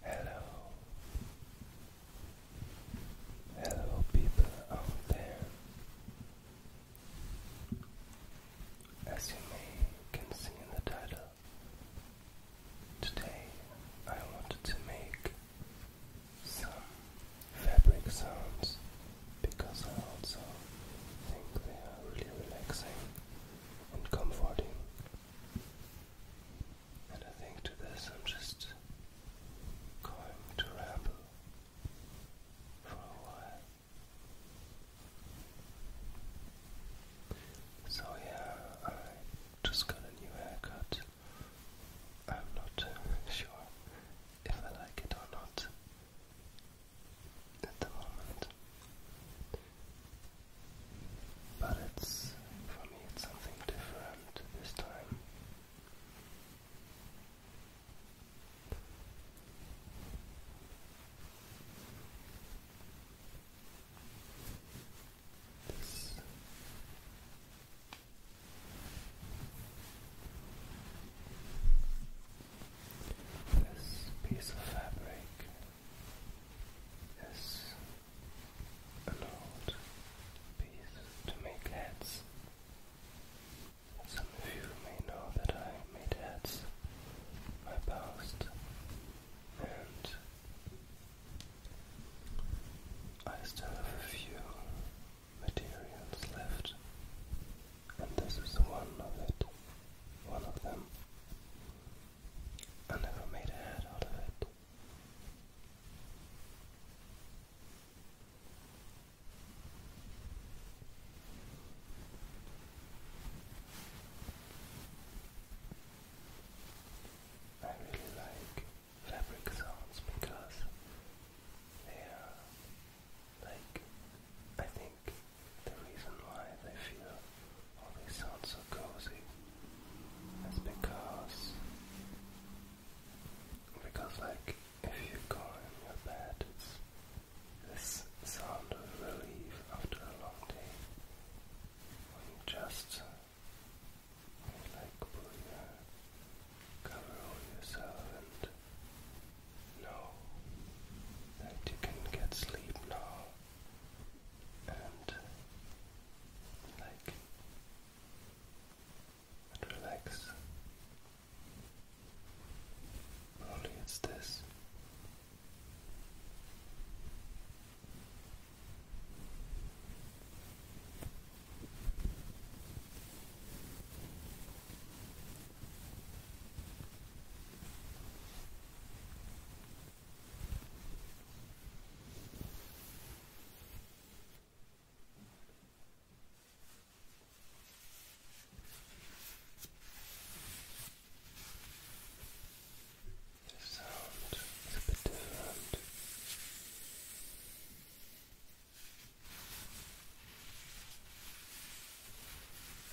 Hello, hello, people out there. As you may can see in the title, today I wanted to make some fabric sounds because I also think they are really relaxing and comforting and I think to this I'm just going to ramble for a while. So yeah, I just got a new haircut. I'm not sure if I like it or not at the moment. But it's for me it's something different this time. This piece of fabric is allowed piece to make heads. Some of you may know that I made heads my past and I still have a few materials left and this is one of it one of them I never made a head out of it. I really like fabric sounds because they are like I think the reason why they feel all these sound so cozy is because because like if you go in your bed it's this sound of relief after a long day when you just you like pull your cover over yourself and know that you can get sleep now and like relax. Probably it's this. The sound is a bit different.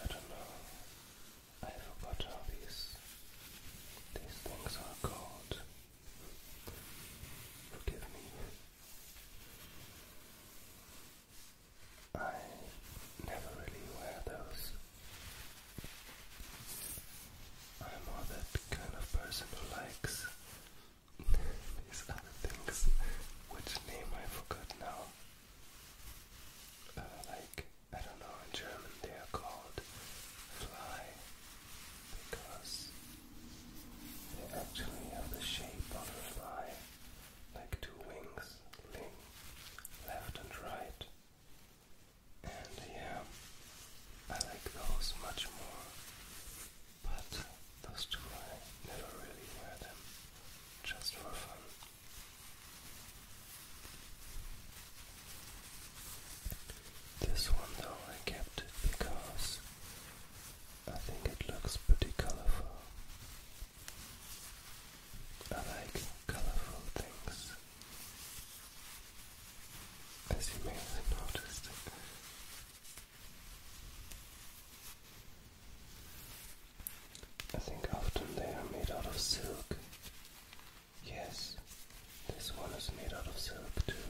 I don't know I forgot how these these things are called. Forgive me. I never really wear those. I'm more that kind of person who likes these other things, which name I forgot now. Uh, like I don't know, in German they are called fly because they actually have the shape of a fly, like two wings, ling, left and right. And yeah, I like those much more, but those two I never really wear them, just for fun. This one though I kept it because I think it looks pretty colorful. I like colorful things. As you may have noticed. I think often they are made out of silk. Yes, this one is made out of silk too.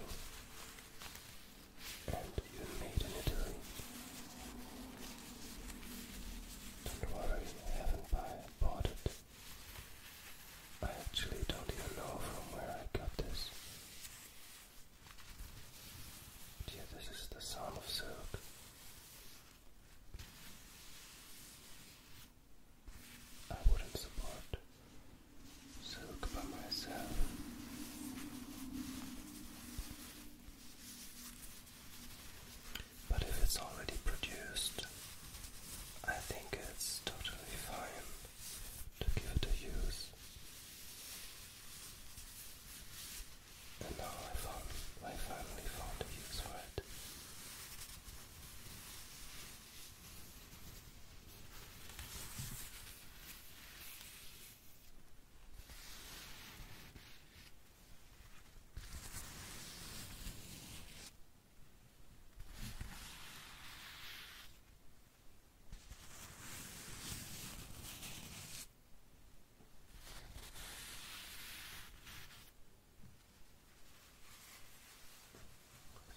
And you made in Italy. Don't worry, I haven't buy, bought it. I actually don't even know from where I got this. But yeah, this is the sound of silk. I wouldn't support silk by myself. But if it's already produced, I think it's totally fine to give it a use and now I found I finally found a use for it.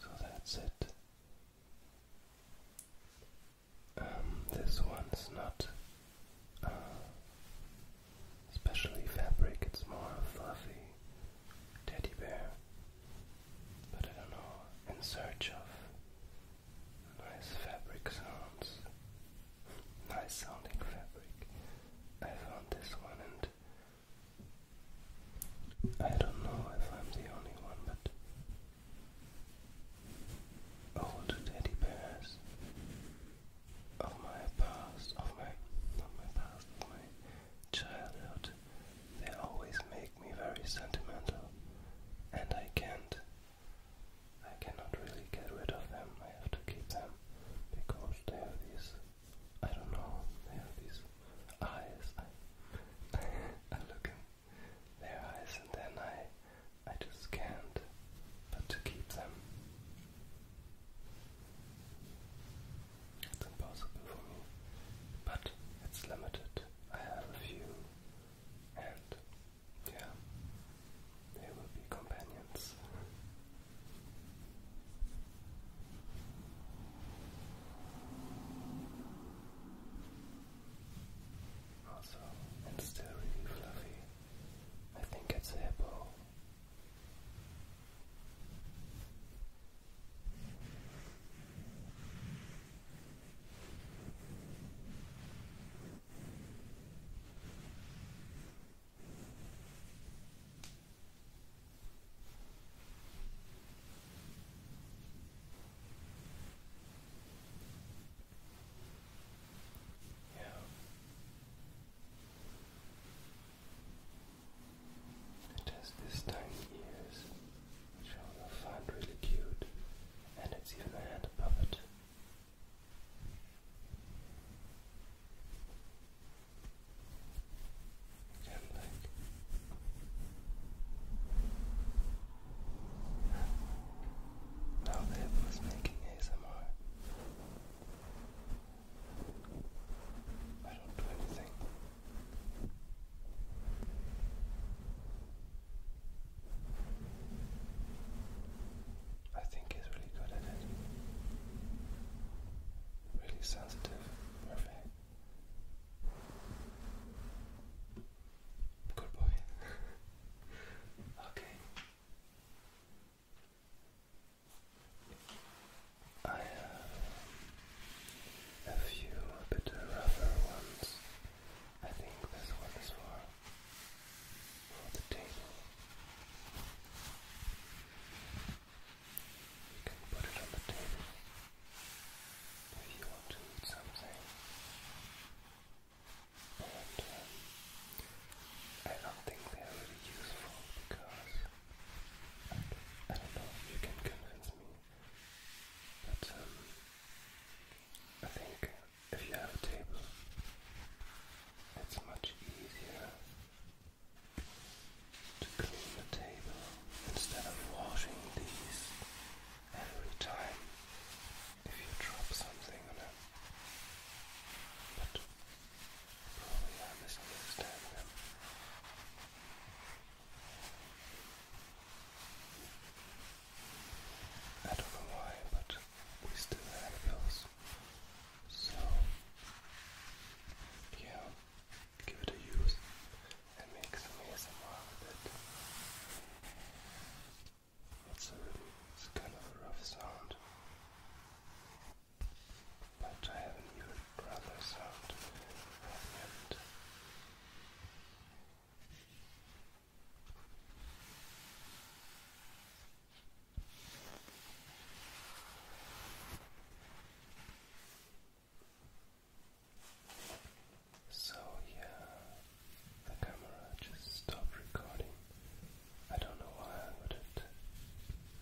So that's it. Um, this one's not especially uh, fabric, it's more fluffy teddy bear. But I don't know, in search of nice fabric sounds nice sounding fabric. I found this one and I don't know if I'm the only one, but old teddy bears of my past, of my, not my past, of my childhood, they always make me very sentimental, and I can't I cannot really get rid of them. I have to keep them because they have these. I don't know. They have these eyes. I, look in their eyes and then I, I just can't. But to keep them, it's impossible for me. But it's limited. I have a few, and yeah, they will be companions. Also, it's still really fluffy. I think it's a hippo. Yeah. It has this tiny ears, which I will find really cute, and it's even a hand puppet and leg. Now that was making ASMR, I don't do anything. I think he's really good at it. Really sensitive, perfect. Good boy. okay. I have a few a ones. I think this one is for on the table. You can put it on the table if you want to eat something. And uh, I don't think they're really useful because I don't know if you can convince me, but um, I think if you have a table, it's much easier to clean the table instead of washing these every time if you drop something on it. But probably I misunderstand them. I don't know why, but we still have those so, yeah, give it a use and make some ASMR with it. It's a kind of a rough sound, but I have a new sound. I so, yeah, the camera just stopped recording. I don't know why but it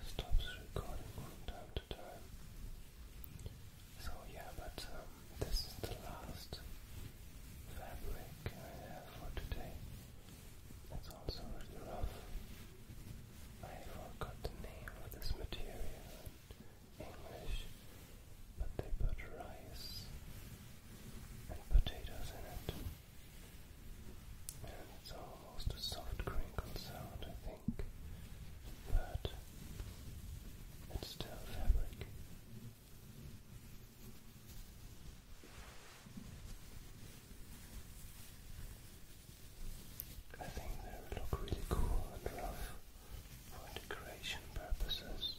stops recording from time to time. So, yeah, but um, this is the last fabric I have for today. It's also really rough. I forgot the name of this material English, but they put rice and potatoes in it. And it's almost a soft crinkle sound, I think, but it's still fabric. I think they look really cool and rough for decoration purposes.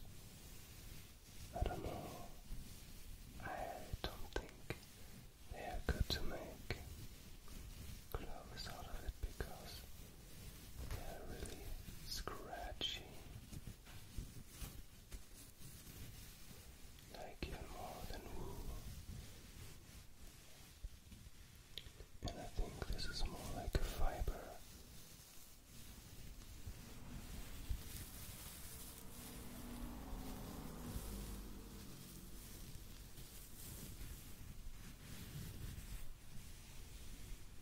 I don't know. I don't think they are good to make gloves out of it because they are really scratchy like even more than wool. And I think this is more like a fiber.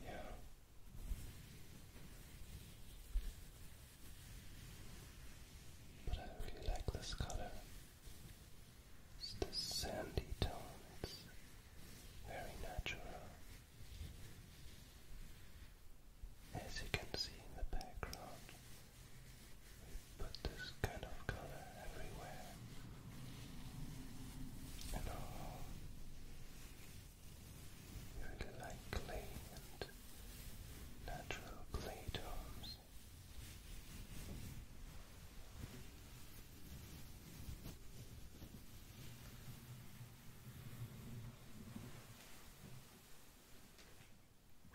Yeah. But I really like this color. It's this sandy tone. It's very natural. As you can see in the background, we put this kind of color everywhere. And really like clay and natural clay tones.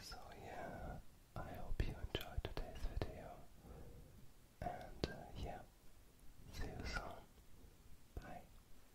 So yeah, I hope you enjoyed today's video, and uh, yeah, see you soon. Bye.